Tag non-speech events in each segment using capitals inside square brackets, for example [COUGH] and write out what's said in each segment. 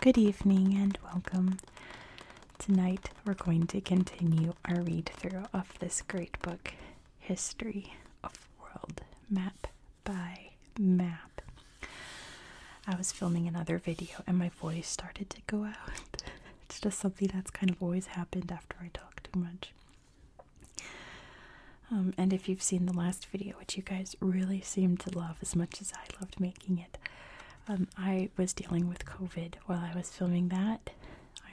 Good evening and welcome. Tonight we're going to continue our read through of this great book, history of world map by map. I was filming another video and my voice started to go out. it's just something that's kind of always happened after I talk too much. Um, and if you've seen the last video, which you guys really seemed to love as much as I loved making it, um, I was dealing with COVID while I was filming that,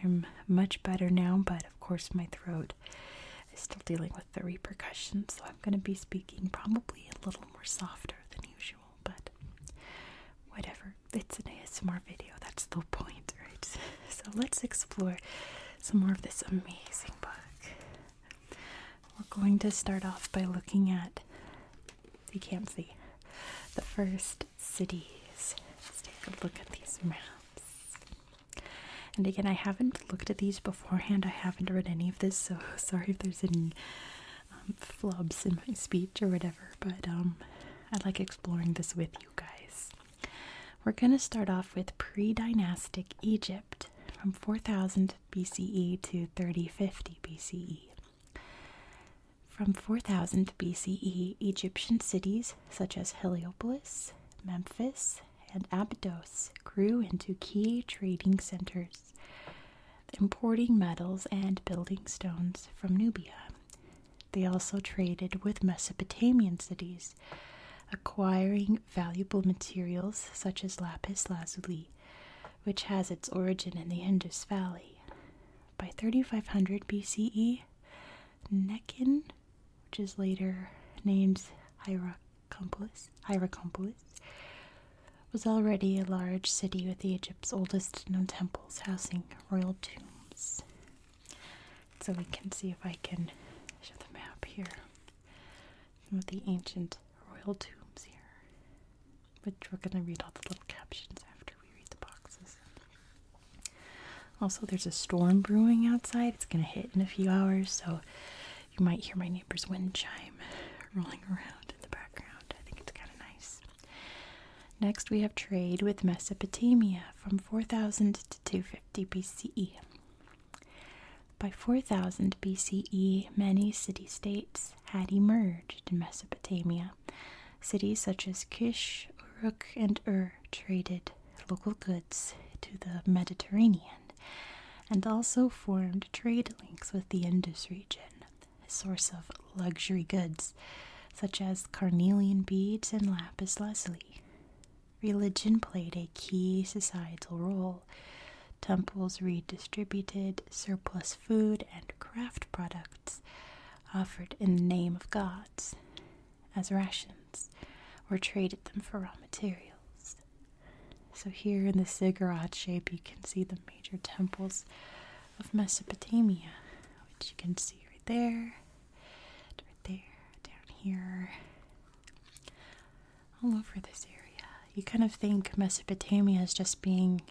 I'm much better now, but of course, my throat is still dealing with the repercussions, so I'm going to be speaking probably a little more softer than usual, but whatever. It's a an ASMR video, that's the point, [LAUGHS] right? So let's explore some more of this amazing book. We're going to start off by looking at, you can't see, the first cities. Let's take a look at these maps. And again, I haven't looked at these beforehand. I haven't read any of this, so [LAUGHS] sorry if there's any um, flubs in my speech or whatever. But um, I like exploring this with you guys. We're going to start off with pre-dynastic Egypt from 4000 BCE to 3050 BCE. From 4000 BCE, Egyptian cities such as Heliopolis, Memphis, and Abydos grew into key trading centers, importing metals and building stones from Nubia. They also traded with Mesopotamian cities, acquiring valuable materials such as lapis lazuli, which has its origin in the Indus Valley. By 3500 BCE, Neckin which is later named Hierakonpolis, Hierakonpolis, was already a large city with Egypt's oldest known temples housing royal tombs. So we can see if I can show the map here. Some of the ancient royal tombs here. Which we're gonna read all the little captions after we read the boxes. Also, there's a storm brewing outside. It's going to hit in a few hours, so you might hear my neighbor's wind chime [LAUGHS] rolling around in the background. I think it's kind of nice. Next, we have trade with Mesopotamia from 4000 to 250 BCE. By 4000 BCE, many city states had emerged in Mesopotamia. Cities such as Kish, Uruk, and Ur traded local goods to the Mediterranean and also formed trade links with the Indus region, a source of luxury goods such as carnelian beads and lapis lazuli. Religion played a key societal role. Temples redistributed surplus food and craft products offered in the name of gods as rations or traded them for raw materials. So, here in the ziggurat shape, you can see the major temples of Mesopotamia, which you can see right there, right there, down here, all over this area. You kind of think Mesopotamia is just being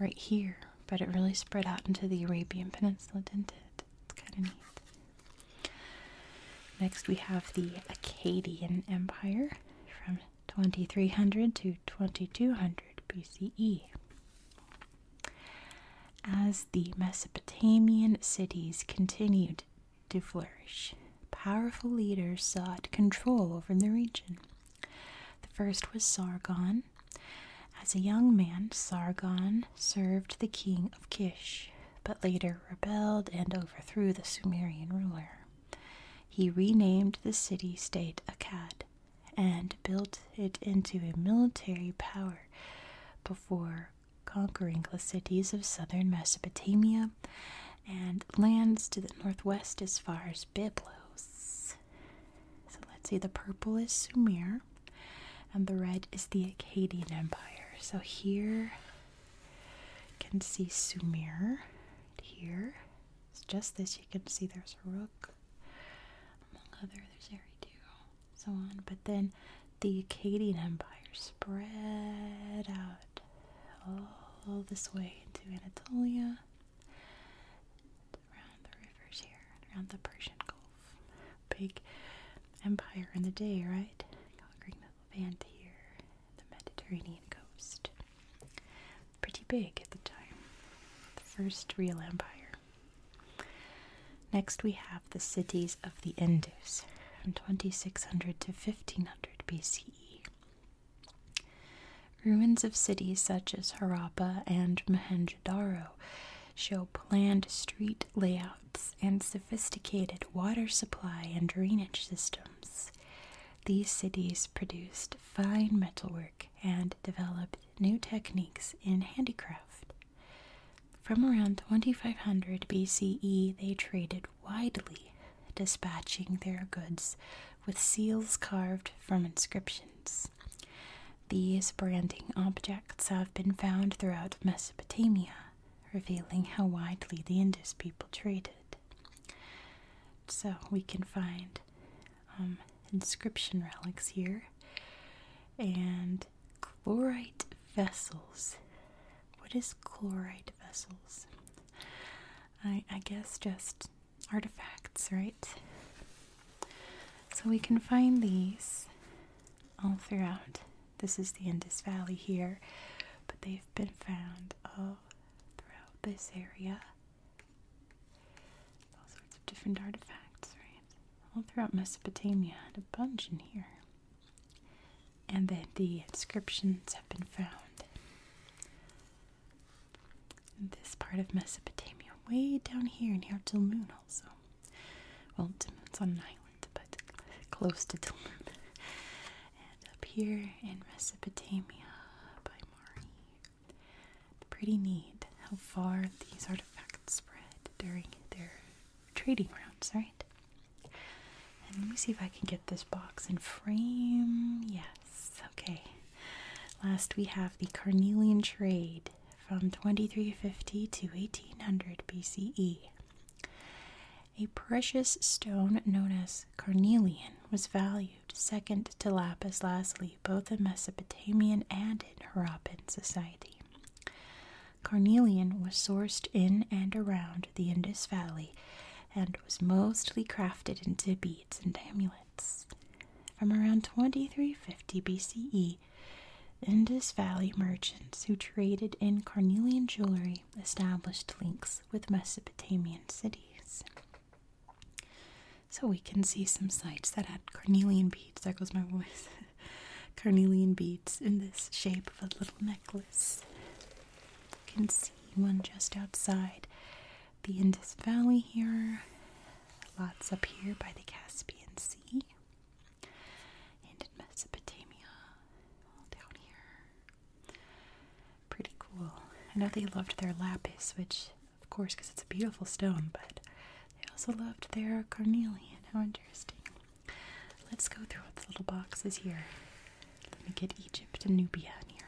right here, but it really spread out into the Arabian Peninsula, didn't it? It's kind of neat. Next, we have the Akkadian Empire from 2300 to 2200 BCE. As the Mesopotamian cities continued to flourish, powerful leaders sought control over the region. The first was Sargon. As a young man, Sargon served the king of Kish, but later rebelled and overthrew the Sumerian ruler. He renamed the city state Akkad and built it into a military power before conquering the cities of southern Mesopotamia and lands to the northwest as far as Byblos. So let's see, the purple is Sumer and the red is the Akkadian Empire. So here you can see Sumer. Here, it's just this. You can see there's a rook, among other. There's Eridu, so on. But then the Akkadian Empire spread out all this way into Anatolia, around the rivers here, around the Persian Gulf. Big empire in the day, right? Conquering the Levant here, the Mediterranean coast. Pretty big at the time. The first real empire. Next, we have the cities of the Indus from 2600 to 1500 BCE. Ruins of cities such as Harappa and Mohenjo-daro show planned street layouts and sophisticated water supply and drainage systems. These cities produced fine metalwork and developed new techniques in handicraft. From around 2500 BCE, they traded widely, dispatching their goods with seals carved from inscriptions. These branding objects have been found throughout Mesopotamia, revealing how widely the Indus people traded. So we can find um, inscription relics here and chlorite vessels. What is chlorite vessels? I guess just artifacts, right? So we can find these all throughout this is the Indus Valley here, but they've been found all throughout this area. All sorts of different artifacts, right? All throughout Mesopotamia, and a bunch in here. And then the inscriptions have been found in this part of Mesopotamia, way down here in Hertilmun, also. Well, it's on an island, but close to Dillman. and up here in Mesopotamia by Mari. Pretty neat how far these artifacts spread during their trading rounds, right? And let me see if I can get this box in frame. Yes, okay. Last we have the Carnelian trade from 2350 to 1800 BCE. A precious stone known as carnelian was valued second to lapis lazuli both in Mesopotamian and in Harappan society. Carnelian was sourced in and around the Indus Valley and was mostly crafted into beads and amulets. From around 2350 BCE Indus Valley merchants who traded in carnelian jewelry established links with Mesopotamian cities. So we can see some sites that had carnelian beads. That goes my voice. [LAUGHS] carnelian beads in this shape of a little necklace. You can see one just outside the Indus Valley here. Lots up here by the Caspian Sea and in Mesopotamia, all down here. Pretty cool. I know they loved their lapis, which, of course, because it's a beautiful stone, but they also loved their carnelian. How interesting. Let's go through the little boxes here. Let me get Egypt and Nubia in here.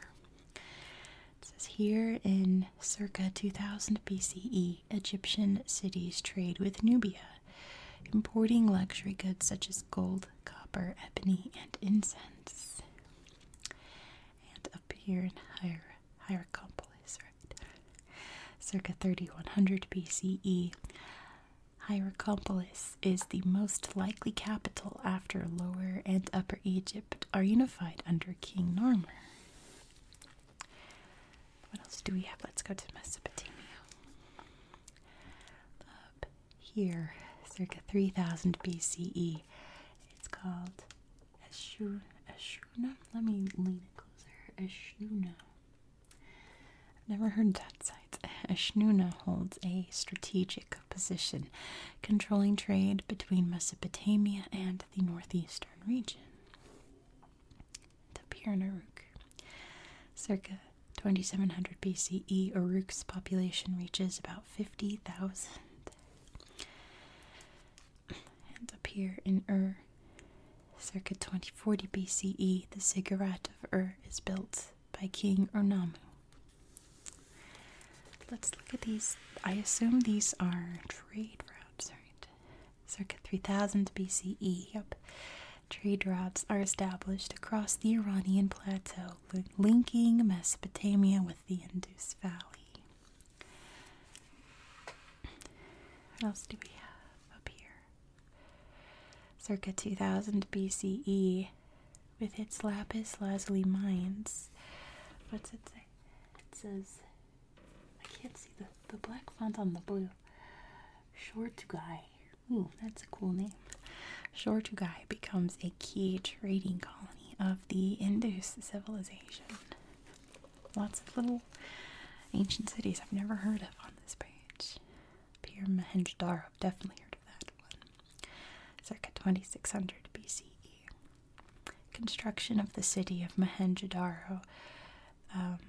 It says here in circa 2000 BCE, Egyptian cities trade with Nubia importing luxury goods such as gold, copper, ebony, and incense, and up here in Hier Hierakonpolis, right? Circa 3100 BCE, Hierakonpolis is the most likely capital after Lower and Upper Egypt are unified under King Normer. What else do we have? Let's go to Mesopotamia. Up here, circa 3000 BCE. It's called Ashur Ashuna. Let me lean it closer. Ashuna. i never heard that site. Ashnuna holds a strategic position, controlling trade between Mesopotamia and the northeastern region the Piran Uruk. Circa 2700 BCE, Uruk's population reaches about 50,000. And up here in Ur, circa 2040 BCE, the ziggurat of Ur is built by King Urnamu. Let's look at these. I assume these are trade routes, right? circa 3000 BCE. Yep. Trade routes are established across the Iranian plateau, linking Mesopotamia with the Indus Valley. What else do we have up here? Circa 2000 BCE, with its lapis lazuli mines. What's it say? It says, I can't see the, the black font on the blue. Shortugai. Ooh, that's a cool name. Shortugai becomes a key trading colony of the Indus civilization. Lots of little ancient cities I've never heard of on this page. Pir mohenjo definitely heard of that one. Circa 2600 BCE. Construction of the city of mohenjo um,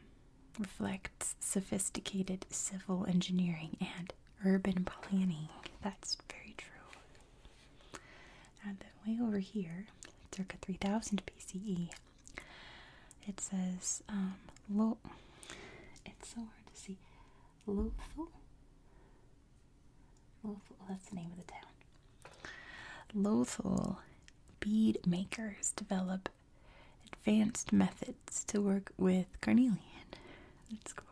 reflects sophisticated civil engineering and urban planning. That's very true. And then way over here, circa 3000 BCE, it says, um, lo- it's so hard to see. Lothol. Lothal, that's the name of the town. Lothol bead makers develop advanced methods to work with carnelian. That's cool.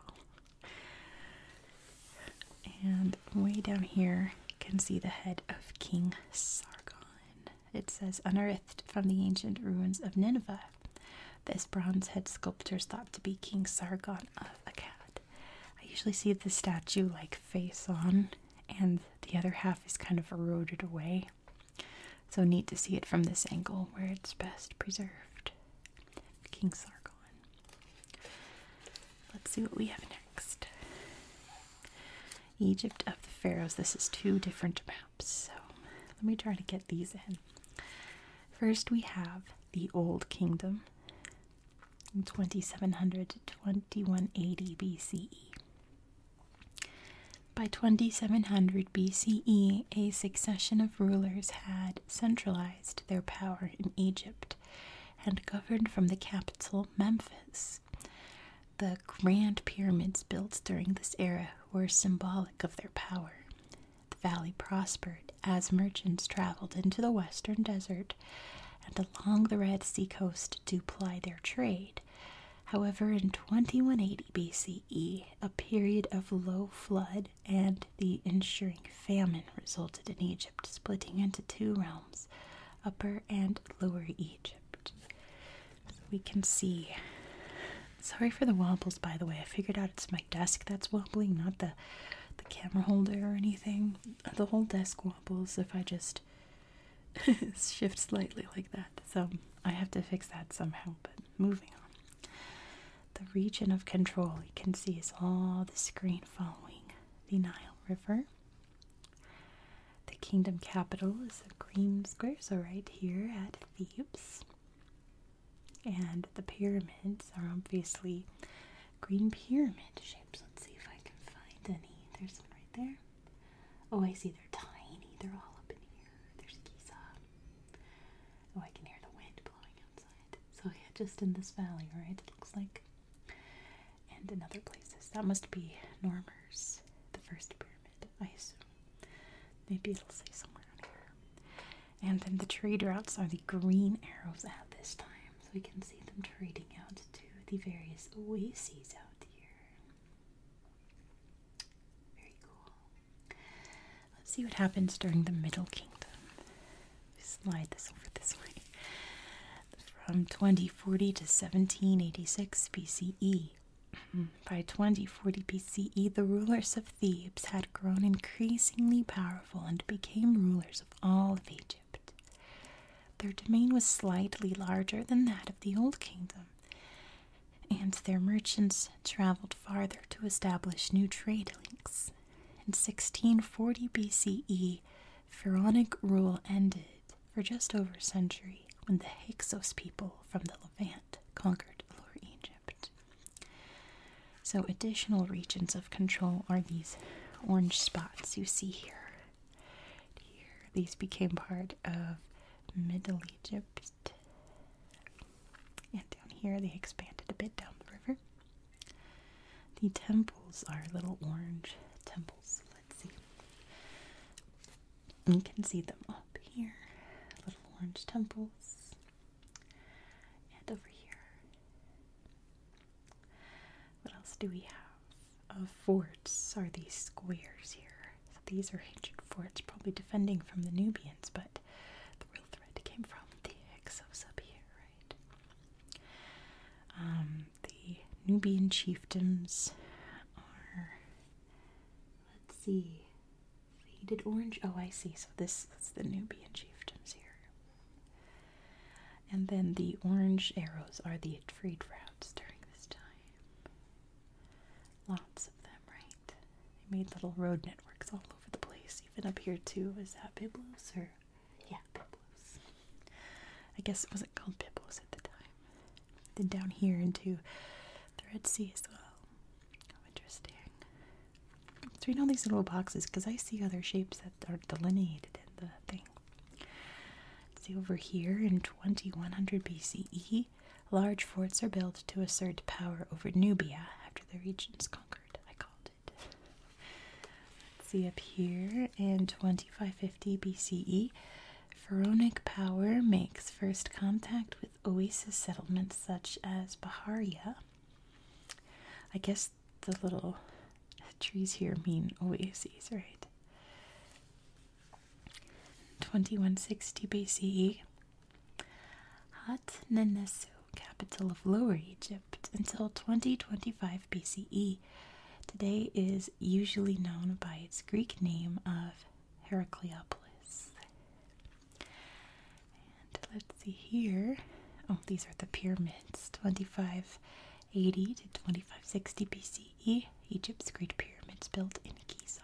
And way down here, you can see the head of King Sargon. It says, unearthed from the ancient ruins of Nineveh. This bronze head sculptor is thought to be King Sargon of Akkad. I usually see the statue like face on, and the other half is kind of eroded away. So neat to see it from this angle where it's best preserved. King Sargon. Let's see what we have next. Egypt of the Pharaohs. This is two different maps, so let me try to get these in. First, we have the Old Kingdom, 2700 to 2180 BCE. By 2700 BCE, a succession of rulers had centralized their power in Egypt and governed from the capital, Memphis. The grand pyramids built during this era were symbolic of their power. The valley prospered as merchants traveled into the western desert and along the Red Sea coast to ply their trade. However, in 2180 BC, BCE, a period of low flood and the ensuing famine resulted in Egypt splitting into two realms, Upper and Lower Egypt. we can see. Sorry for the wobbles, by the way. I figured out it's my desk that's wobbling, not the the camera holder or anything. The whole desk wobbles if I just [LAUGHS] shift slightly like that. So I have to fix that somehow, but moving on. The region of control you can see is all the screen following the Nile River. The kingdom capital is the green square, so right here at Thebes. And the pyramids are obviously green pyramid shapes. Let's see if I can find any. There's one right there. Oh, I see they're tiny. They're all up in here. There's Giza. Oh, I can hear the wind blowing outside. So yeah, just in this valley, right? It looks like. And in other places. That must be Normers, the first pyramid, I assume. Maybe it'll say somewhere on here. And then the trade routes are the green arrows at this time. So we can see them trading out to the various oases out here. Very cool. Let's see what happens during the Middle Kingdom. Slide this over this way. From 2040 to 1786 BCE. [CLEARS THROAT] By 2040 BCE, the rulers of Thebes had grown increasingly powerful and became rulers of all of Egypt. Their domain was slightly larger than that of the Old Kingdom, and their merchants traveled farther to establish new trade links. In 1640 BCE, Pharaonic rule ended for just over a century when the Hyksos people from the Levant conquered Lower Egypt. So, additional regions of control are these orange spots you see here. Here, these became part of Middle Egypt and down here they expanded a bit down the river. The temples are little orange temples. Let's see. You can see them up here. Little orange temples. And over here. What else do we have? forts are these squares here. So these are ancient forts, probably defending from the Nubians, but the real threat came from the Hyksos up here, right? Um, the Nubian chiefdoms are, let's see, faded orange. Oh, I see. So this is the Nubian chiefdoms here. And then the orange arrows are the freed routes during this time. Lots them, right? They made little road networks all over the place, even up here too. Was that Byblos or yeah, Byblos? I guess it wasn't called Byblos at the time. Then down here into the Red Sea as well. How interesting. So read know these little boxes because I see other shapes that are delineated in the thing. see over here in 2100 BCE, large forts are built to assert power over Nubia after the region's conquered. I called it. see up here in 2550 BCE, Pharonic power makes first contact with oasis settlements such as Baharia. I guess the little trees here mean oases, right? 2160 BCE, Hat Nenesu, capital of Lower Egypt, until 2025 BCE. Today is usually known by its Greek name of Heracleopolis. And let's see here. Oh, these are the pyramids 2580 to 2560 BCE, Egypt's Great Pyramids built in Giza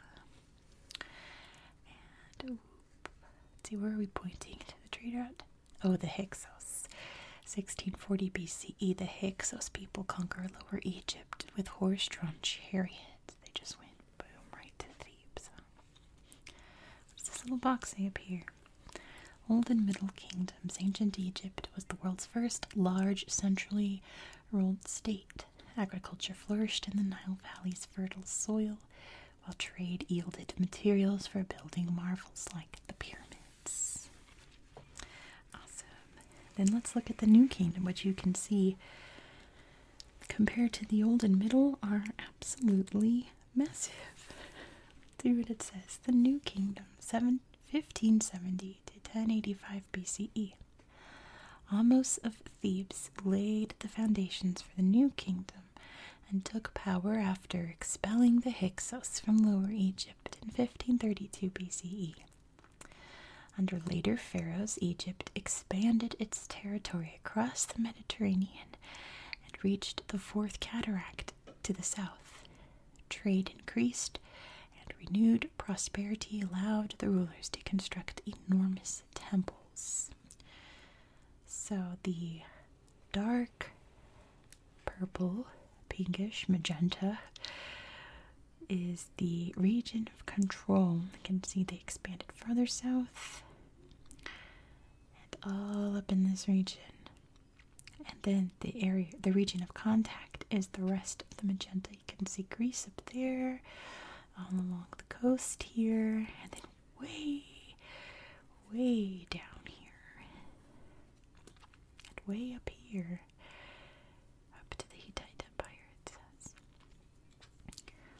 see, where are we pointing to the tree at? Oh, the Hyksos. 1640 BCE, the Hyksos people conquer Lower Egypt with horse-drawn chariots. They just went boom right to Thebes. What's this little box say up here? Old and Middle Kingdoms. Ancient Egypt was the world's first large centrally ruled state. Agriculture flourished in the Nile Valley's fertile soil, while trade yielded materials for building marvels like the pyramids. Awesome. Then let's look at the New Kingdom, which you can see compared to the Old and Middle are absolutely massive. [LAUGHS] See what it says. The New Kingdom, 7, 1570 to 1085 BCE. Amos of Thebes laid the foundations for the new kingdom and took power after expelling the Hyksos from Lower Egypt in 1532 BCE. Under later pharaohs, Egypt expanded its territory across the Mediterranean and reached the Fourth Cataract to the south. Trade increased, and renewed prosperity allowed the rulers to construct enormous temples. So the dark purple, pinkish, magenta is the region of control. You can see they expanded further south and all up in this region. And then the area the region of contact is the rest of the magenta you can see Greece up there, um, along the coast here, and then way, way down here, and way up here, up to the Hittite Empire, it says.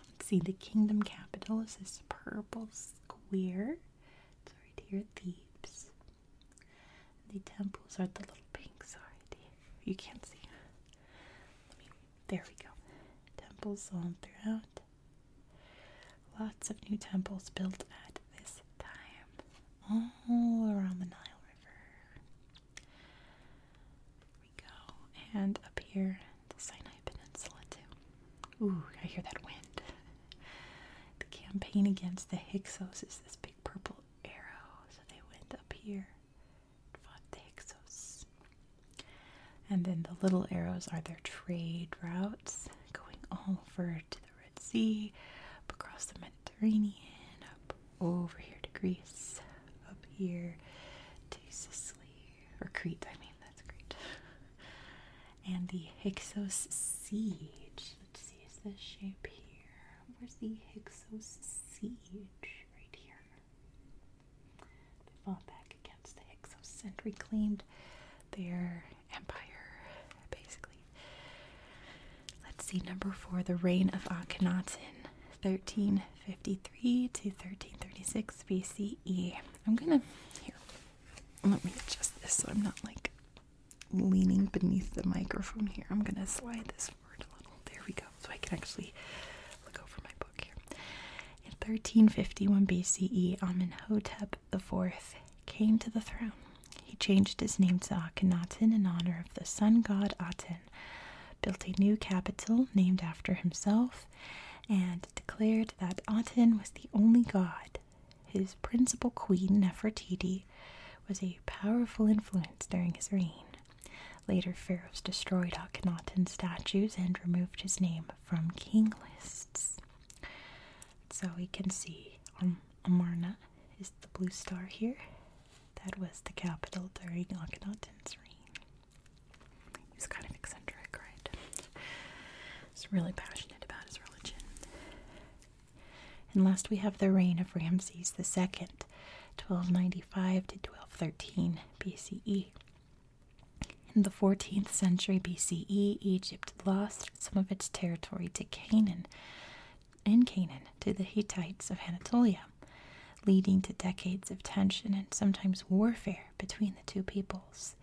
Let's see, the kingdom capital is this purple square. It's right here at Thebes. The temples are the little pink, sorry, you can't see. Let there we go. Temples all throughout. Lots of new temples built at this time, all around the Nile River. There we go, and up here, the Sinai Peninsula, too. Ooh, I hear that wind. the campaign against the Hyksos is this big purple arrow, so they went up here fought the Hyksos. And then the little arrows are their trade routes going all over to the Red Sea, up across the Mediterranean, up over here to Greece, up here to Sicily, or Crete, I mean, that's Crete. and the Hyksos siege. Let's see, is this shape here? Where's the Hyksos siege? Right here. They fought back against the Hyksos and reclaimed their empire, basically. Let's see, number four, the reign of Akhenaten, 1353 to 1336 BCE. I'm gonna, here, let me adjust this so I'm not like leaning beneath the microphone here. I'm gonna slide this there we go. So I can actually look over my book here. In 1351 BCE, Amenhotep IV came to the throne. He changed his name to Akhenaten in honor of the sun god Aten, built a new capital named after himself, and declared that Aten was the only god. His principal queen, Nefertiti, was a powerful influence during his reign. Later, pharaohs destroyed Akhenaten's statues and removed his name from king lists. So we can see um, Amarna is the blue star here. That was the capital during Akhenaten's reign. He was kind of eccentric, right? He's really passionate about his religion. And last we have the reign of Ramses II, 1295 to 1213 BCE. In the 14th century BCE, Egypt lost some of its territory to Canaan, and Canaan, to the Hittites of Anatolia, leading to decades of tension and sometimes warfare between the two peoples.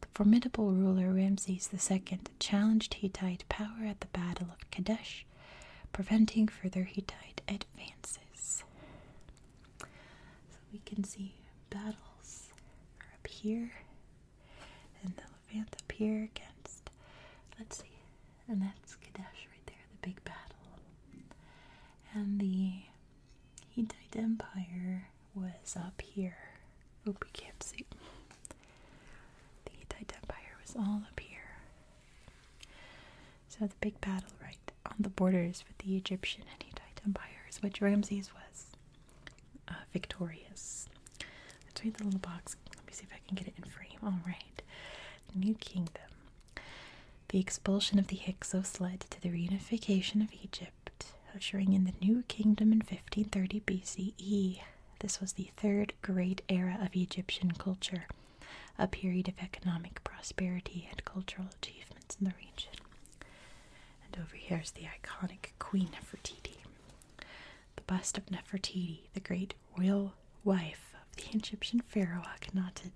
The formidable ruler Ramses II challenged Hittite power at the Battle of Kadesh, preventing further Hittite advances. So we can see battles are up here, and Elephant up here against, let's see, and that's Kadesh right there, the big battle. And the Hittite Empire was up here. Oop, oh, we can't see. The Hittite Empire was all up here. So the big battle right on the borders with the Egyptian and Hittite empires, which Ramses was uh, victorious. Let's read the little box. Let me see if I can get it in frame. All right, New Kingdom. The expulsion of the Hyksos led to the reunification of Egypt, ushering in the New Kingdom in 1530 BCE. This was the third great era of Egyptian culture, a period of economic prosperity and cultural achievement in the region. And over here is the iconic Queen Nefertiti. The bust of Nefertiti, the great royal wife of the Egyptian pharaoh Akhenaten,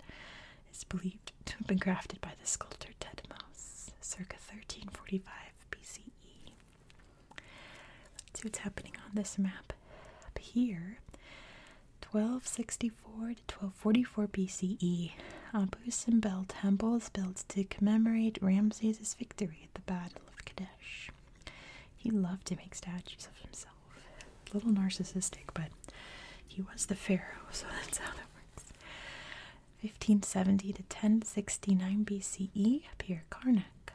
is believed to have been crafted by the sculptor Thutmose circa 1345 BCE. Let's see what's happening on this map. Up here, 1264 to 1244 BCE, Abu Simbel Temple is built to commemorate Ramses' victory at the Battle of Kadesh. He loved to make statues of himself. A little narcissistic, but he was the pharaoh, [LAUGHS] so that's how that works. 1570 to 1069 BCE, Pier Karnak.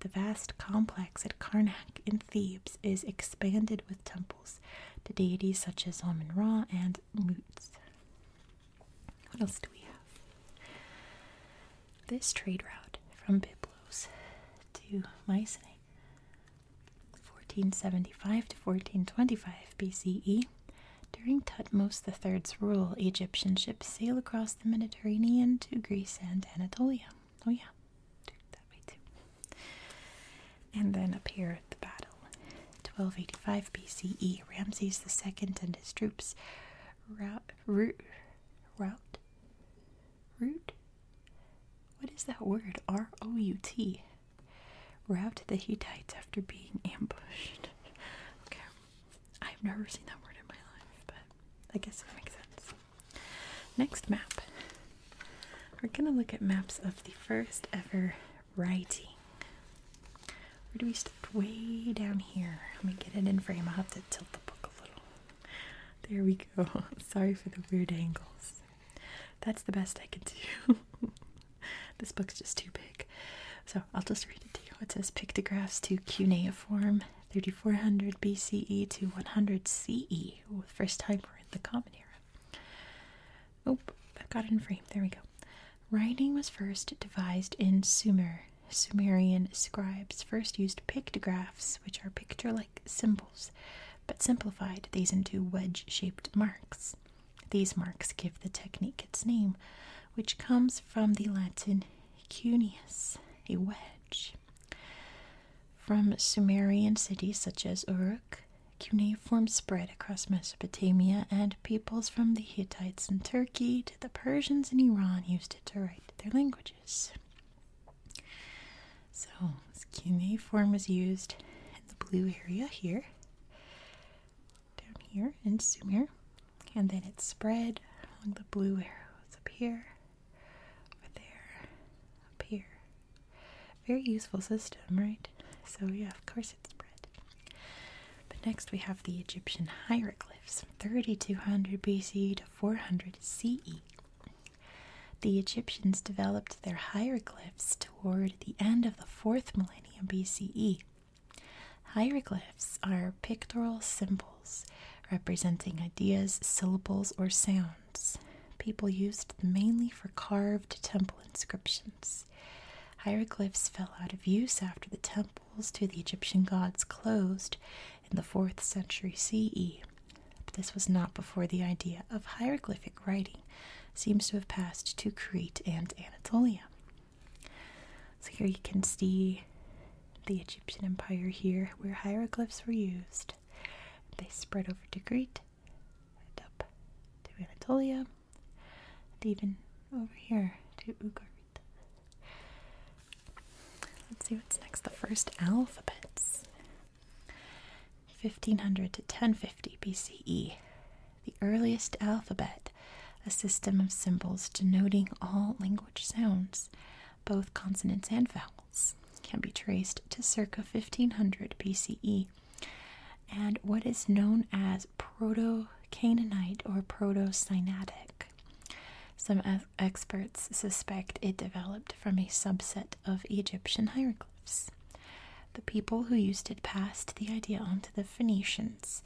The vast complex at Karnak in Thebes is expanded with temples works to deities such as Amun Ra and Lutz. What else do we have? This trade route from Byblos to Mycenae, 1475 to 1425 BCE. During Tutmos III's rule, Egyptian ships sail across the Mediterranean to Greece and Anatolia. Oh yeah, that way too. And then up here at the battle, 1285 BCE, Ramses II and his troops rout, rout, rout. route. What is that word? R O U T. Rout the Hittites after being ambushed. okay, I've never seen that word in my life, but I guess it makes sense. Next map, we're going to look at maps of the first ever writing. Where do we stop? Way down here. Let me get it in frame. I'll have to tilt the book a little. There we go. [LAUGHS] Sorry for the weird angles. That's the best I can do. [LAUGHS] this book's just too big. So I'll just read it to you. It says Pictographs to Cuneiform, 3400 BCE to 100 CE, the first time we're in the Common Era. Oh, I've got it in frame. There we go. Writing was first devised in Sumer. Sumerian scribes first used pictographs, which are picture like symbols, but simplified these into wedge shaped marks. These marks give the technique its name, which comes from the Latin cuneus, a wedge. From Sumerian cities such as Uruk, Cuneiform spread across Mesopotamia, and peoples from the Hittites in Turkey to the Persians in Iran used it to write their languages. So, cuneiform is used in the blue area here, down here in Sumer, and then it spread along the blue arrows up here, over there, up here, very useful system, right? So, yeah, of course it's spread. But next we have the Egyptian hieroglyphs, 3200 BCE to 400 CE. The Egyptians developed their hieroglyphs toward the end of the 4th millennium BCE. Hieroglyphs are pictorial symbols representing ideas, syllables, or sounds. People used them mainly for carved temple inscriptions. Hieroglyphs fell out of use after the temples to the Egyptian gods closed in the 4th century CE. But this was not before the idea of hieroglyphic writing seems to have passed to Crete and Anatolia. So here you can see the Egyptian Empire here where hieroglyphs were used. They spread over to Crete up to Anatolia, and even over here to Ugarit. Let's see what's next. The first alphabets. 1500 to 1050 BCE. The earliest alphabet, a system of symbols denoting all language sounds, both consonants and vowels, can be traced to circa 1500 BCE and what is known as Proto Canaanite or Proto Sinaitic. Some experts suspect it developed from a subset of Egyptian hieroglyphs. The people who used it passed the idea on to the Phoenicians,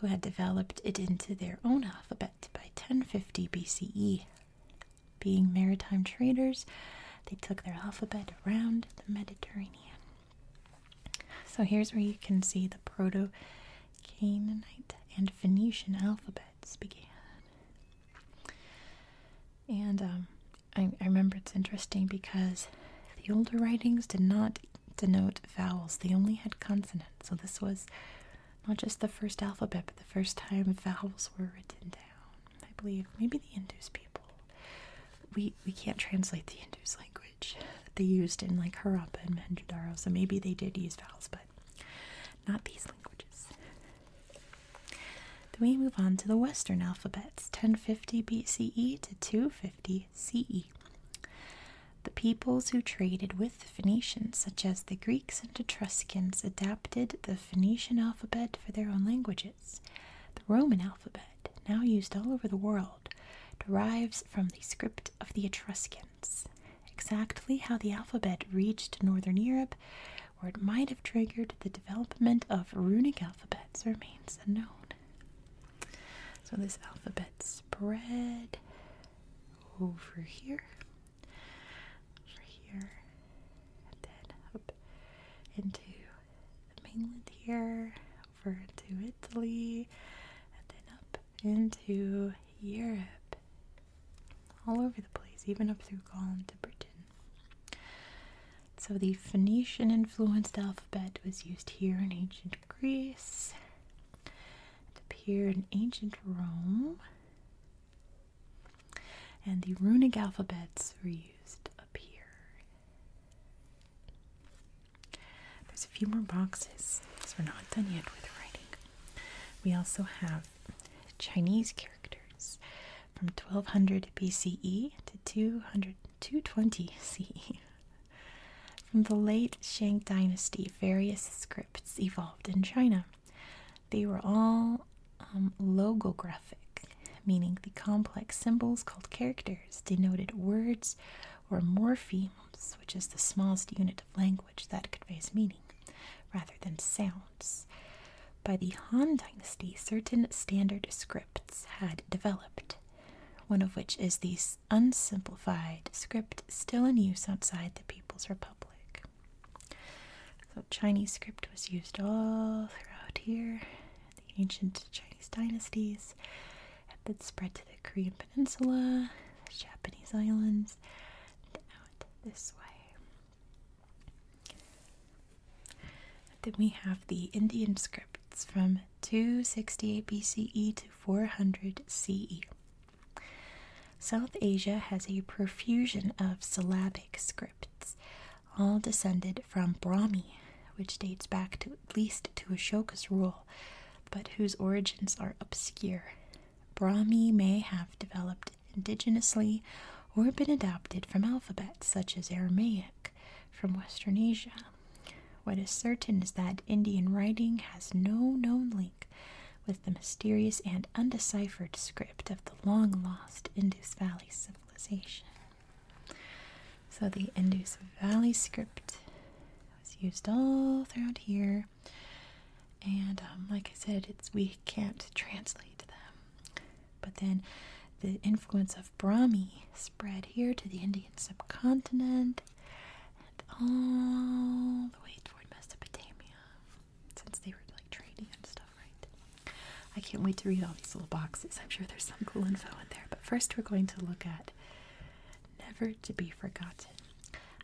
who had developed it into their own alphabet by 1050 BCE. Being maritime traders, they took their alphabet around the Mediterranean. So here's where you can see the Proto Canaanite and Phoenician alphabets began. And um, I, remember it's interesting because the older writings did not denote vowels, they only had consonants. So this was not just the first alphabet, but the first time vowels were written down. I believe maybe the Indus people. We we can't translate the Indus language that they used in like Harappa and Mohenjo-daro, so maybe they did use vowels, but not these languages. Then we move on to the Western alphabets, 1050 BCE to 250 CE. The peoples who traded with the Phoenicians, such as the Greeks and Etruscans, adapted the Phoenician alphabet for their own languages. The Roman alphabet now used all over the world, derives from the script of the Etruscans. Exactly how the alphabet reached northern Europe, or it might have triggered the development of runic alphabets, remains unknown. So this alphabet spread over here, over here, and then up into mainland here, over to Italy, and then up into Europe. All over the place, even up through Gaul to Britain. So the Phoenician influenced alphabet was used here in ancient Greece, It appeared in ancient Rome. And the runic alphabets were used here. There's a few more boxes because we're not done yet with writing. We also have Chinese characters from 1200 BCE to 200, 220 CE. From the late Shang Dynasty, various scripts evolved in China. They were all um, logographic, meaning the complex symbols called characters, denoted words or morphemes, which is the smallest unit of language that conveys meaning, rather than sounds. By the Han Dynasty, certain standard scripts had developed, one of which is the unsimplified script still in use outside the People's Republic. So Chinese script was used all throughout here the ancient Chinese dynasties, that spread to the Korean Peninsula, the Japanese islands, out this way. Then we have the Indian scripts from 268 BCE to 400 CE. South Asia has a profusion of syllabic scripts, all descended from Brahmi, which dates back at least to Ashoka's rule, but whose origins are obscure. Brahmi may have developed indigenously or been adopted from alphabets such as Aramaic from Western Asia. What is certain is that Indian writing has no known link with the mysterious and undeciphered script of the long lost Indus Valley civilization. So the Indus Valley script was used all throughout here, and um, like I said, it's we can't translate them. But then the influence of Brahmi spread here to the Indian subcontinent and all the way toward Mesopotamia, since they were like trading and stuff, right? I can't wait to read all these little boxes. I'm sure there's some cool info in there. But first, we're going to look at Never to Be Forgotten.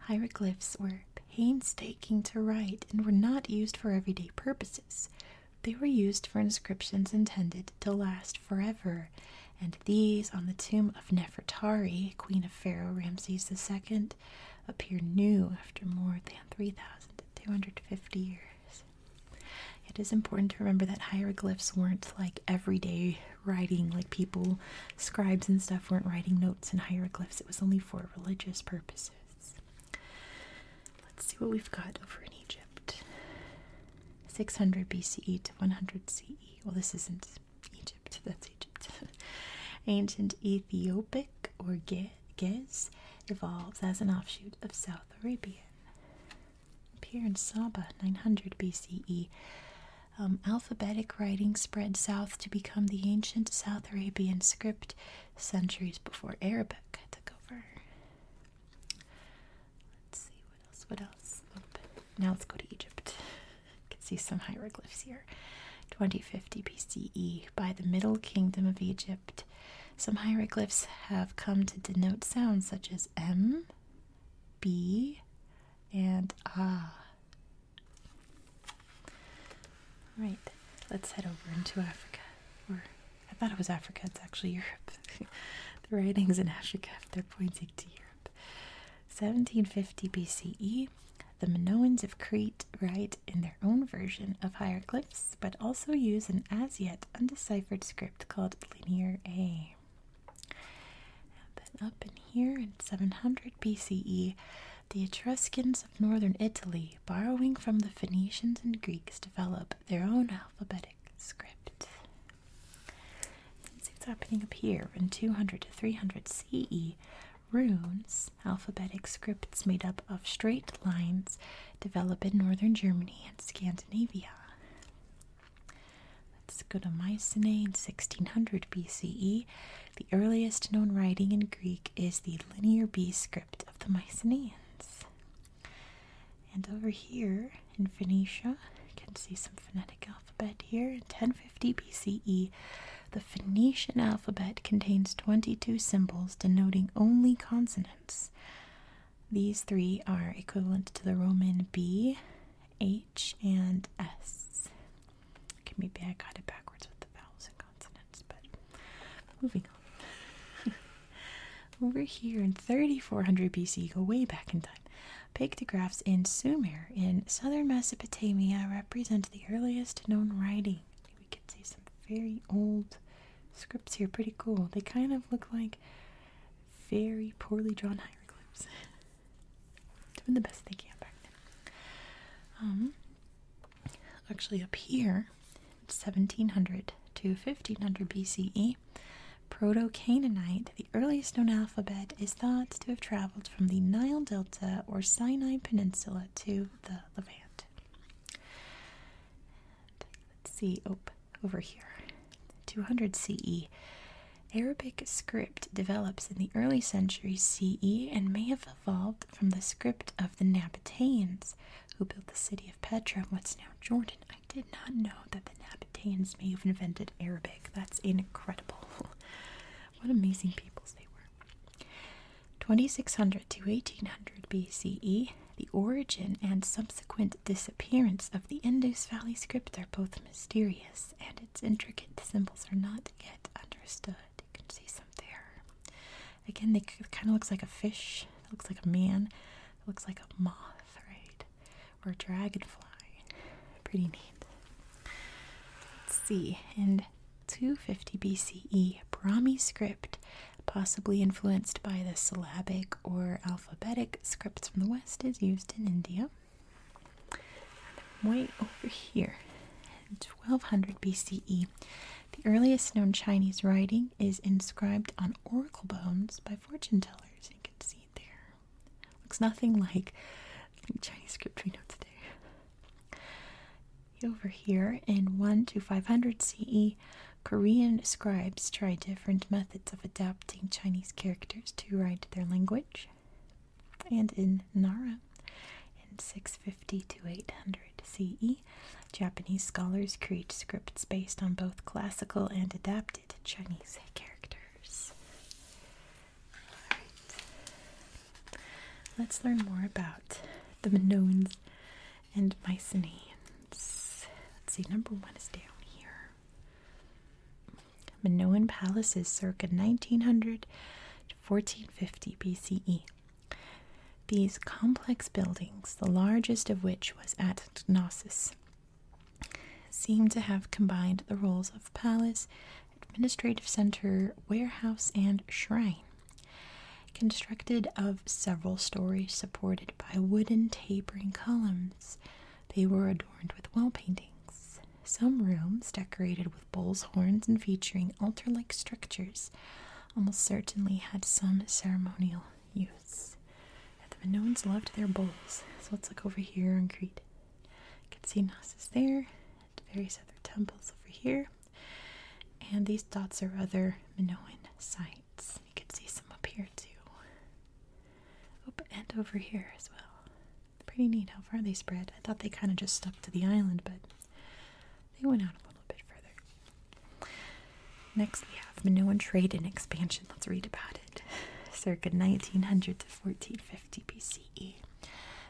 Hieroglyphs were painstaking to write and were not used for everyday purposes. They were used for inscriptions intended to last forever, and these on the tomb of Nefertari, queen of Pharaoh Ramses II, appear new after more than 3,250 years. It is important to remember that hieroglyphs weren't like everyday writing, like people, scribes and stuff, weren't writing notes in hieroglyphs. It was only for religious purposes. Let's see what we've got over in Egypt 600 BCE to 100 CE. Well, this isn't Egypt, that's Egypt. [LAUGHS] Ancient Ethiopic or Ge Gez evolves as an offshoot of South Arabian. Appear in Saba, 900 BCE. Um, alphabetic writing spread south to become the ancient South Arabian script centuries before Arabic took over. Let's see what else. What else? Now let's go to Egypt. You [LAUGHS] can see some hieroglyphs here. 2050 BCE. By the Middle Kingdom of Egypt, some hieroglyphs have come to denote sounds such as M, B, and a. Right, let's head over into Africa. Or I thought it was Africa, it's actually Europe. [LAUGHS] the writings in Africa, they're pointing to Europe. 1750 BCE, the Minoans of Crete write in their own version of hieroglyphs, but also use an as yet undeciphered script called Linear A. then up in here in 700 BCE, the Etruscans of northern Italy, borrowing from the Phoenicians and Greeks, develop their own alphabetic script. Let's see what's happening up here in 200 to 300 CE. Runes, alphabetic scripts made up of straight lines, develop in northern Germany and Scandinavia. Let's go to Mycenae in 1600 BCE. The earliest known writing in Greek is the Linear B script of the Mycenaeans. And over here in Phoenicia, you can see some phonetic alphabet here. In 1050 BCE, the Phoenician alphabet contains 22 symbols denoting only consonants. These three are equivalent to the Roman B, H, and S. Okay, maybe I got it backwards with the vowels and consonants, but moving on. [LAUGHS] Over here in 3400 BC, go way back in time. Pictographs in Sumer in southern Mesopotamia represent the earliest known writing. We can see some very old scripts here pretty cool. They kind of look like very poorly drawn hieroglyphs. [LAUGHS] Doing the best they can back then. Um, actually, up here, 1700 to 1500 BCE, Proto Canaanite, the earliest known alphabet, is thought to have traveled from the Nile Delta or Sinai Peninsula to the Levant. Let's see. Oh, over here. 200 CE. Arabic script develops in the early century CE and may have evolved from the script of the Nabataeans, who built the city of Petra in what's now Jordan. I did not know that the Nabataeans may have invented Arabic. That's incredible. [LAUGHS] what amazing peoples they were. 2600 to 1800 BCE, the origin and subsequent disappearance of the Indus Valley script are both mysterious, and its intricate symbols are not yet understood. You can see some there. Again, they kind of looks like a fish. It looks like a man. It looks like a moth, right? Or dragonfly. Pretty neat. Let's see. In 250 BCE, Brahmi script possibly influenced by the syllabic or alphabetic scripts from the West, is used in India. Wait over here, 1200 BCE, the earliest known Chinese writing is inscribed on oracle bones by fortune tellers. You can see it there. Looks nothing like Chinese script we know today. Over here, in 1 to 500 CE, Korean scribes tried different methods of adapting Chinese characters to write their language. And in Nara, in 650 to 800 CE, Japanese scholars create scripts based on both classical and adapted Chinese characters. Alright, let's learn more about the Minoans and Mycenaeans. Let's see, number one is down here. Minoan palaces circa 1900 to 1450 BCE. These complex buildings, the largest of which was at Knossos, seem to have combined the roles of palace, administrative center, warehouse, and shrine. Constructed of several stories supported by wooden tapering columns they were adorned with wall paintings. Some rooms decorated with bull's horns and featuring altar like structures almost certainly had some ceremonial use. the Minoans loved their bulls. So let's look over here on Crete. You can see Knossos there, and various other temples over here. And these dots are other Minoan sites. You can see some up here too. Oh, and over here as well. Pretty neat how far they spread. I thought they kind of just stuck to the island, but they went out a little bit further. Next, we have Minoan Trade and Expansion. Let's read about it. [LAUGHS] Circa 1900 to 1450 BCE.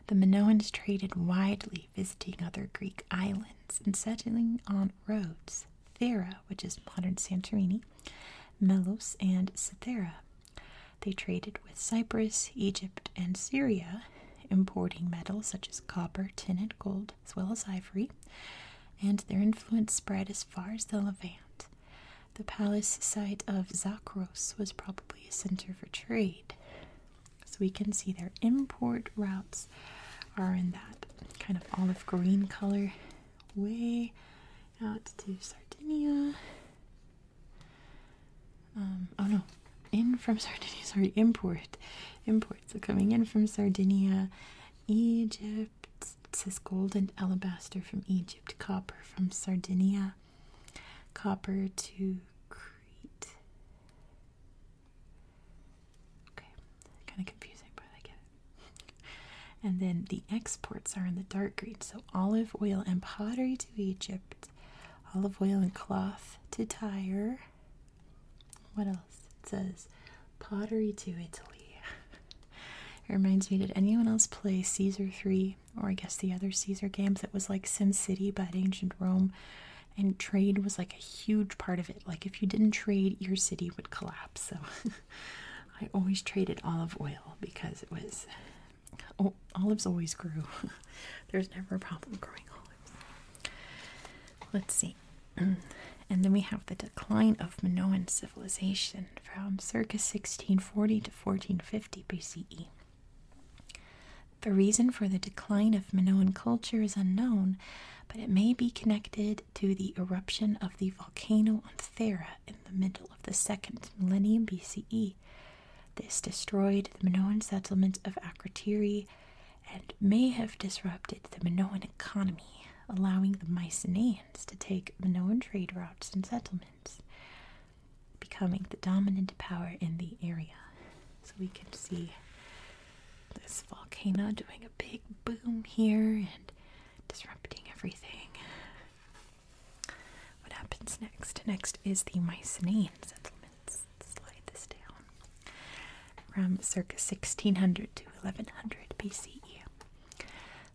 The Minoans traded widely, visiting other Greek islands and settling on Rhodes, Thera, which is modern Santorini, Melos, and Cythera. They traded with Cyprus, Egypt, and Syria, importing metals such as copper, tin, and gold, as well as ivory, and their influence spread as far as the Levant. The palace site of Zakros was probably a center for trade. So we can see their import routes are in that kind of olive green color way out to Sardinia. Um, oh no, in from Sardinia, [LAUGHS] sorry, import. Imports are coming in from Sardinia, Egypt. It says gold and alabaster from Egypt, copper from Sardinia, copper to Crete. Okay, kind of confusing, but I get it and then the exports are in the dark green. So olive oil and pottery to Egypt, olive oil and cloth to Tyre. What else? It says pottery to Italy. it reminds me, did anyone else play Caesar 3 or I guess the other Caesar games that was like Sim City but ancient Rome? And trade was like a huge part of it. Like if you didn't trade, your city would collapse. So [LAUGHS] I always traded olive oil because it was oh, olives always grew. [LAUGHS] There's never a problem growing olives. Let's see. [CLEARS THROAT] And then we have the decline of Minoan civilization from circa 1640 to 1450 BCE. The reason for the decline of Minoan culture is unknown, but it may be connected to the eruption of the volcano on Thera in the middle of the second millennium BCE. This destroyed the Minoan settlement of Akrotiri and may have disrupted the Minoan economy, allowing the Mycenaeans to take Minoan trade routes and settlements, becoming the dominant power in the area. So we can see this volcano doing a big boom here and disrupting everything. What happens next? Next is the Mycenaeans. Slide this down. From circa 1600 to 1100 BCE.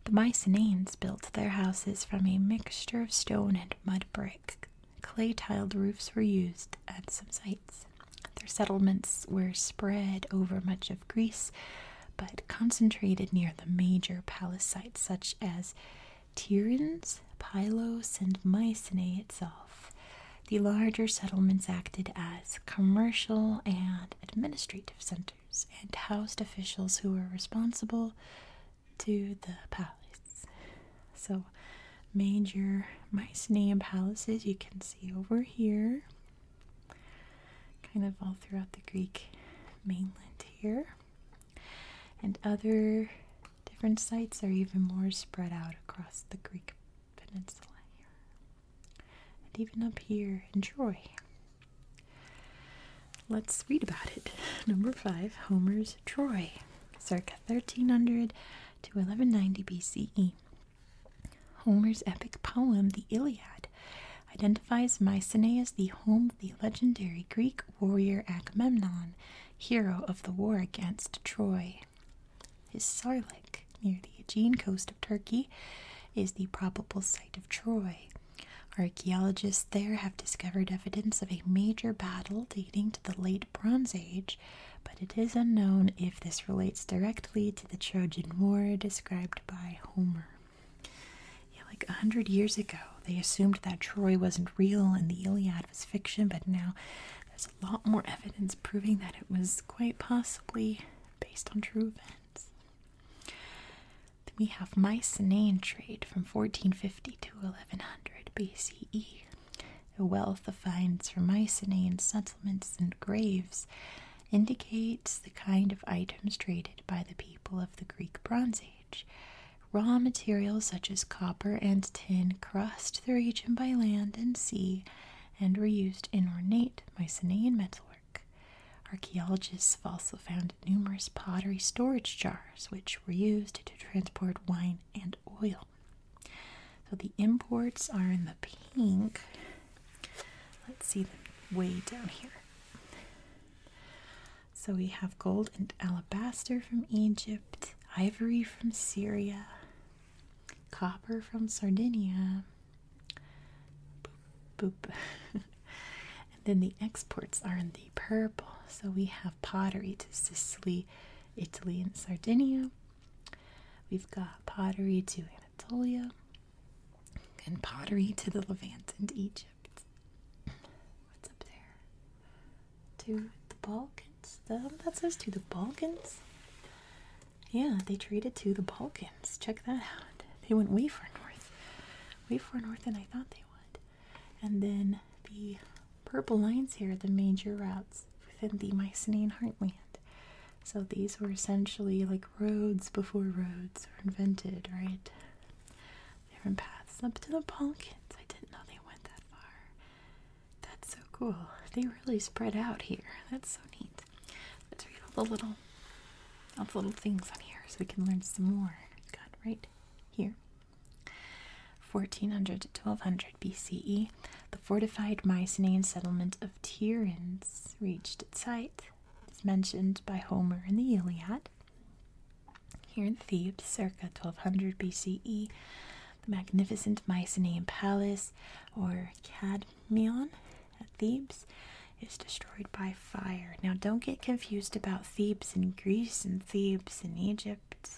The Mycenaeans built their houses from a mixture of stone and mud brick. Clay tiled roofs were used at some sites. Their settlements were spread over much of Greece, but concentrated near the major palace sites such as Tiryns, Pylos, and Mycenae itself. The larger settlements acted as commercial and administrative centers and housed officials who were responsible to the palace. So, major Mycenaean palaces you can see over here kind of all throughout the Greek mainland here. And other different sites are even more spread out across the Greek peninsula here. And even up here in Troy. Let's read about it. Number five Homer's Troy, circa 1300 to 1190 BCE. Homer's epic poem, the Iliad, identifies Mycenae as the home of the legendary Greek warrior Agamemnon, hero of the war against Troy. His Sarlik, near the Aegean coast of Turkey, is the probable site of Troy. Archaeologists there have discovered evidence of a major battle dating to the late Bronze Age, but it is unknown if this relates directly to the Trojan War described by Homer. Yeah, like a hundred years ago, they assumed that Troy wasn't real and the Iliad was fiction, but now there's a lot more evidence proving that it was quite possibly based on true events. Then we have Mycenaean trade from 1450 to 1100 BCE. A wealth of finds from Mycenaean settlements and graves indicates the kind of items traded by the people of the Greek Bronze Age. Raw materials such as copper and tin crossed the region by land and sea and were used in ornate Mycenaean metalwork. Archaeologists have also found numerous pottery storage jars, which were used to transport wine and oil. So the imports are in the pink, Let's see them way down here. So we have gold and alabaster from Egypt, ivory from Syria, copper from Sardinia. boop. [LAUGHS] and then the exports are in the purple. So we have pottery to Sicily, Italy, and Sardinia. We've got pottery to Anatolia, and pottery to the Levant and Egypt. What's up there? To the Balkans? that says to the Balkans? Yeah, they traded to the Balkans. Check that out. They went way far north. Way far north than I thought they would. And then the purple lines here are the major routes within the Mycenaean heartland. So these were essentially like roads before roads were invented, right? Different paths up to the pumpkins. I didn't know they went that far. That's so cool. They really spread out here. That's so neat. Let's read all the little all the little things on here so we can learn some more. Got right here. 1400 to 1200 BCE, the fortified Mycenaean settlement of Tiryns reached its height is mentioned by Homer in the Iliad. Here in Thebes, circa 1200 BCE, the magnificent Mycenaean palace, or Cadmeion, at Thebes, is destroyed by fire. Now, don't get confused about Thebes in Greece and Thebes in Egypt.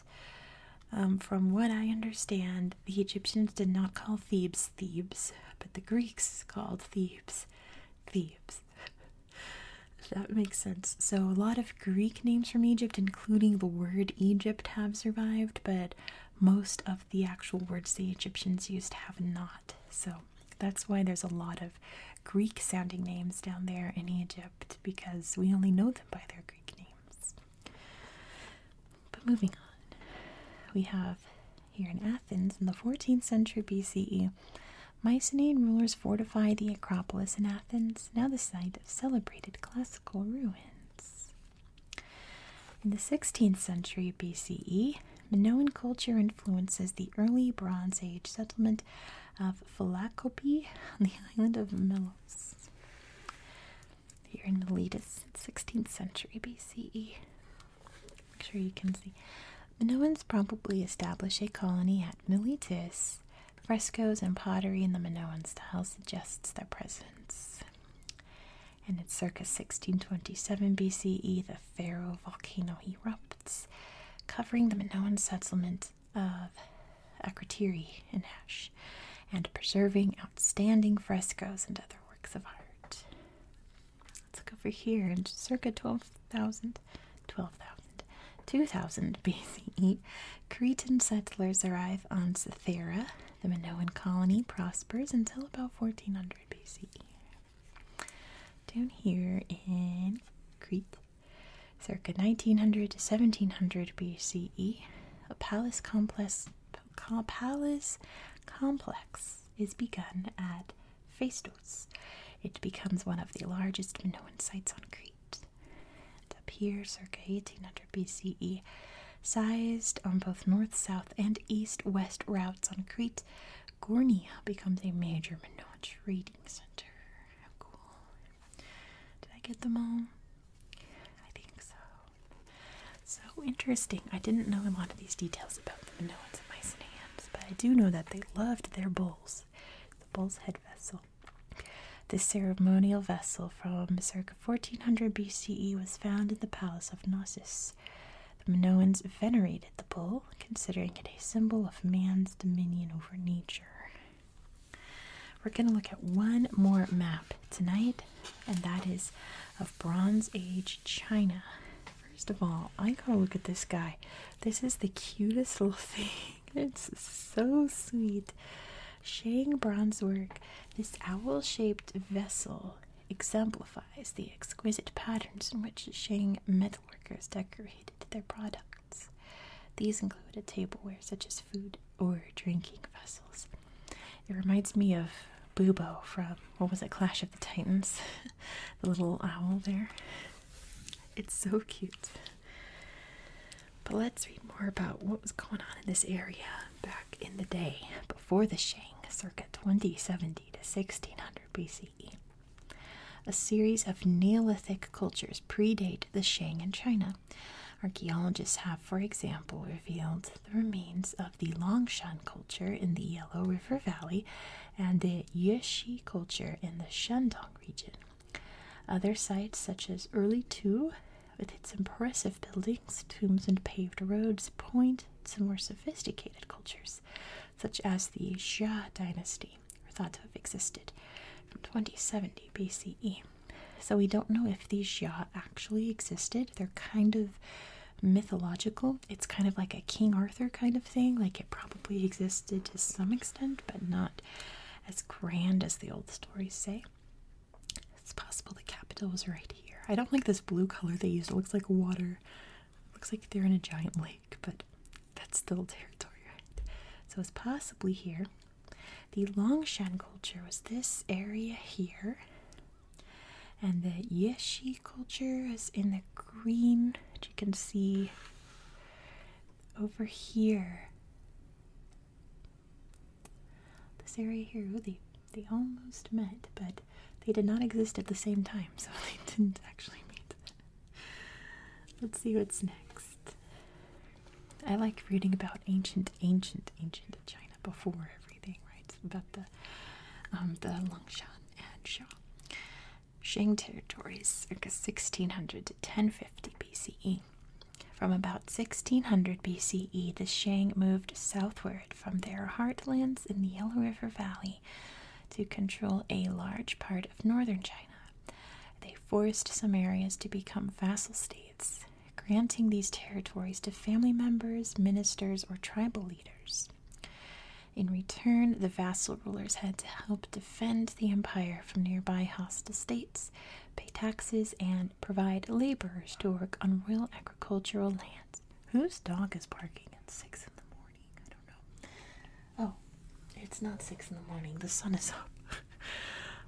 Um, from what I understand, the Egyptians did not call Thebes Thebes, but the Greeks called Thebes Thebes. [LAUGHS] that makes sense. So, a lot of Greek names from Egypt, including the word Egypt, have survived, but most of the actual words the Egyptians used have not. So, that's why there's a lot of Greek sounding names down there in Egypt, because we only know them by their Greek names. But moving on, we have here in Athens in the 14th century BCE, Mycenaean rulers fortified the Acropolis in Athens, now the site of celebrated classical ruins. In the 16th century BCE, Minoan culture influences the early Bronze Age settlement of Philacopi on the [LAUGHS] island of Melos. Here in Miletus, 16th century BCE. Make sure you can see. Minoans probably established a colony at Militis. Frescoes and pottery in the Minoan style suggests their presence. And in circa 1627 BCE, the Faro volcano erupts, covering the Minoan settlement of Akrotiri and Ash, and preserving outstanding frescoes and other works of art. Let's look over here. In circa 12,000, 12,000, 2000 [LAUGHS] BCE, Cretan settlers arrive on Cythera. The Minoan colony prospers until about 1400 BCE. Down here in Crete, circa 1900 to 1700 BCE, a palace complex, palace complex is begun at Phaistos. It becomes one of the largest Minoan sites on Crete. And up here, circa 1800 BCE, sized on both north, south, and east west routes on Crete, Gournia becomes a major Minoan trading center. cool. Did I get them all? I think so. So interesting. I didn't know a lot of these details about the Minoans and Mycenaeans but I do know that they loved their bulls, the bull's head vessel. This ceremonial vessel from circa 1400 BCE was found in the palace of Knossos. The Minoans venerated the bull, considering it a symbol of man's dominion over nature. We're going to look at one more map tonight, and that is of Bronze Age China. First of all, I gotta look at this guy. This is the cutest little [LAUGHS] thing. It's so sweet. Shang bronze work. This owl shaped vessel exemplifies the exquisite patterns in which Shang metalworkers decorated their products. These included tableware such as food or drinking vessels. It reminds me of Bubo from what was it, Clash of the Titans? [LAUGHS] the little owl there. It's so cute. But let's read more about what was going on in this area back in the day before the Shang, circa 2070 to 1600 BCE. A series of Neolithic cultures predate the Shang in China. Archaeologists have, for example, revealed the remains of the Longshan culture in the Yellow River Valley and the Yuezhi culture in the Shandong region. Other sites such as Early Tu, with its impressive buildings, tombs, and paved roads, point to more sophisticated cultures, such as the Xia dynasty, or thought to have existed from 2070 BCE. So we don't know if these Xia actually existed. They're kind of mythological. It's kind of like a King Arthur kind of thing. Like it probably existed to some extent, but not as grand as the old stories say. It's possible the capital was right here. I don't like this blue color they used. It looks like water. looks like they're in a giant lake, but that's still territory, right? So it's possibly here. The Longshan culture was this area here and the Yeshi culture is in the green, which you can see over here. This area here, they, they almost met, but they did not exist at the same time, [LAUGHS] so they didn't actually meet. Let's see what's next. I like reading about ancient, ancient, ancient China before everything, right? about the um, the Longshan and Shang. Shang territories, circa 1600 to 1050 BCE. From about 1600 BCE, the Shang moved southward from their heartlands in the Yellow River Valley to control a large part of northern China. They forced some areas to become vassal states, granting these territories to family members, ministers, or tribal leaders. In return, the vassal rulers had to help defend the empire from nearby hostile states, pay taxes, and provide laborers to work on royal agricultural lands. Whose dog is barking at six in the morning? I don't know. Oh, it's not six in the morning. The sun is up. [LAUGHS]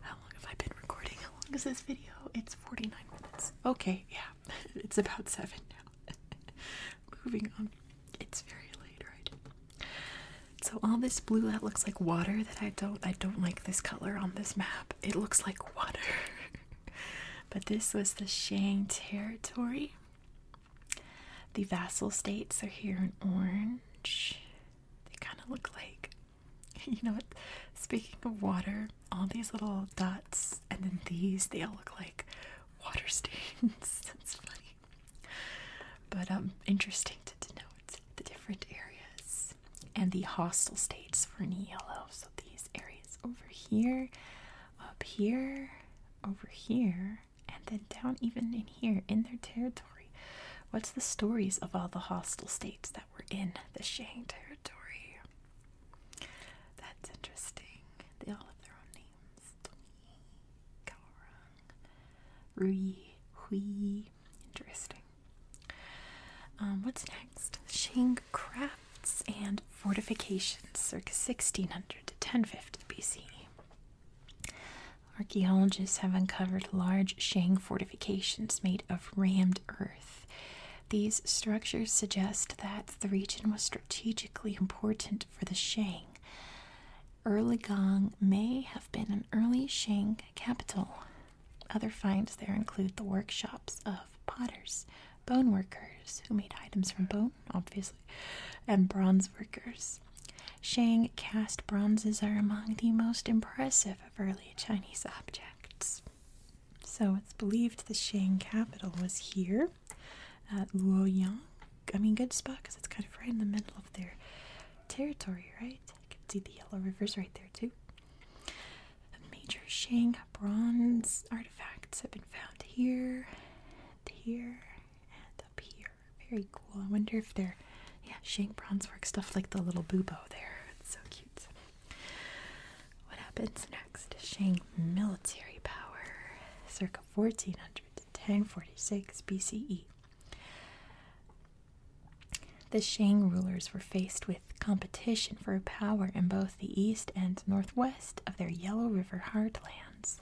How long have I been recording? How long is this video? It's 49 minutes. Okay, yeah, [LAUGHS] it's about seven now. [LAUGHS] Moving on. It's very late, right? So all this blue that looks like water that I don't I don't like this color on this map. It looks like water. [LAUGHS] but this was the Shang territory. The vassal states are here in orange. They kind of look like you know what? Speaking of water, all these little dots and then these, they all look like water stains. [LAUGHS] That's funny. But um, interesting to note the different areas and the hostile states for any yellow. So these areas over here, up here, over here, and then down even in here in their territory. What's the stories of all the hostile states that were in the Shang territory? That's interesting. They all have their own name. Rui, Hui. Interesting. Um, what's next? Shang crafts and fortifications, circa 1600 to 1050 BC. Archaeologists have uncovered large Shang fortifications made of rammed earth. These structures suggest that the region was strategically important for the Shang. Erligong may have been an early Shang capital. Other finds there include the workshops of potters, bone workers who made items from bone, obviously, and bronze workers. Shang cast bronzes are among the most impressive of early Chinese objects. So it's believed the Shang capital was here at Luoyang. I mean, good spot because it's kind of right in the middle of their territory, right? You can see the yellow rivers right there, too. major Shang bronze artifacts have been found here, and here, and up here. Very cool. I wonder if they're, yeah, Shang bronze work stuff like the little bubo there. It's so cute. What happens next? Shang military power. Circle circa 1400 to 1046 BCE. The Shang rulers were faced with competition for power in both the east and northwest of their Yellow River heartlands.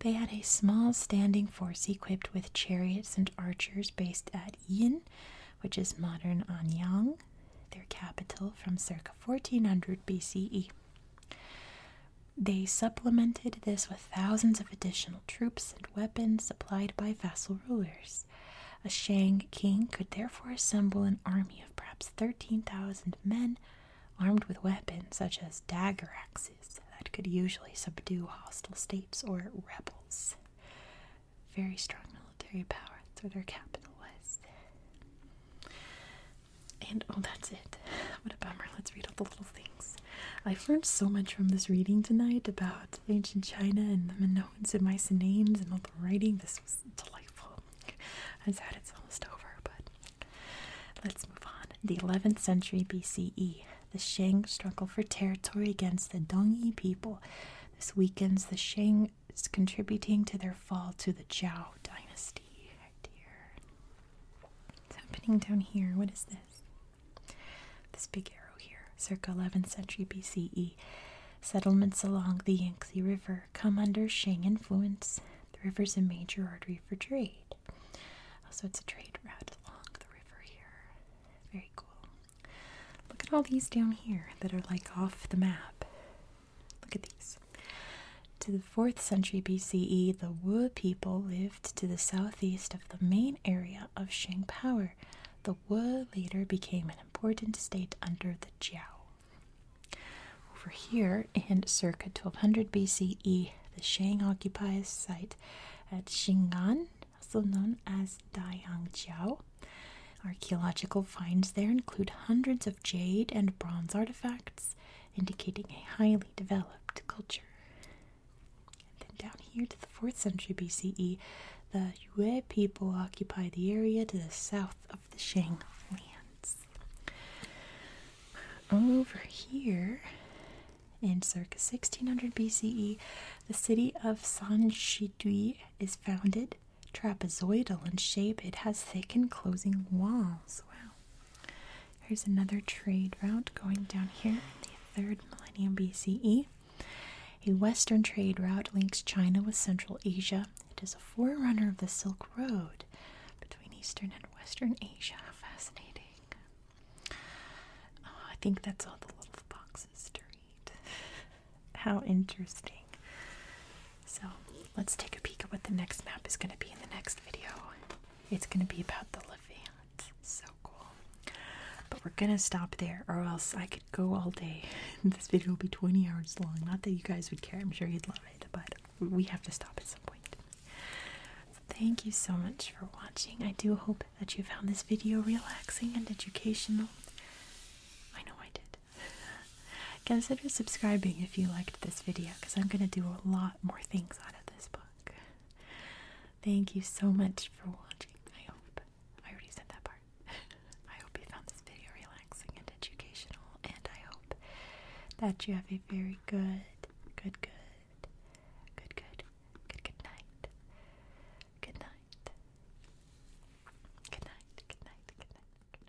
They had a small standing force equipped with chariots and archers based at Yin, which is modern Anyang, their capital from circa 1400 BCE. They supplemented this with thousands of additional troops and weapons supplied by vassal rulers. A Shang king could therefore assemble an army of perhaps 13,000 men armed with weapons such as dagger axes that could usually subdue hostile states or rebels. Very strong military power, that's where their capital was. And oh, that's it. [LAUGHS] What a bummer. Let's read all the little things. I've learned so much from this reading tonight about ancient China and the Minoans and Mycenaeans and all the writing. This was delightful. I'm [LAUGHS] sad it's almost over, but let's move on. The 11th century BCE. The Shang struggle for territory against the Dongyi people. This weakens the Shang, contributing to their fall to the Zhao dynasty. What's happening down here? What is this? This big arrow here, circa 11th century BCE. Settlements along the Yangtze River come under Shang influence. The river is a major artery for trade. Also, it's a trade route along the river here. Very cool. Look at all these down here that are like off the map. Look at these. To the 4th century BCE, the Wu people lived to the southeast of the main area of Shang power. The Wu later became an important state under the Jiao. Over here, in circa 1200 BCE, the Shang occupies site at Xing'an, also known as Daiyangjiao. Archaeological finds there include hundreds of jade and bronze artifacts, indicating a highly developed culture. then down here to the 4th century BCE, the Yue people occupy the area to the south of the Shang lands. Over here, in circa 1600 BCE, the city of San Shidui is founded. Trapezoidal in shape, it has thick enclosing walls. Wow. Here's another trade route going down here in the third millennium BCE. A western trade route links China with Central Asia. It is a forerunner of the Silk Road between Eastern and Western Asia. Fascinating. Oh, I think that's all the little boxes to read. [LAUGHS] How interesting. So let's take a peek at what the next map is going to be in the next video. It's going to be about the Levant. So cool. But we're going to stop there or else I could go all day. [LAUGHS] this video will be 20 hours long. Not that you guys would care. I'm sure you'd love it. But we have to stop at some point. thank you so much for watching. I do hope that you found this video relaxing and educational. I know I did. [LAUGHS] Consider subscribing if you liked this video because I'm going to do a lot more things out of this book. Thank you so much for watching. I hope. I already said that part. [LAUGHS] I hope you found this video relaxing and educational, and I hope that you have a very good, good, good, good, good, good, Good night. Good night. Good night. Good night. Good night.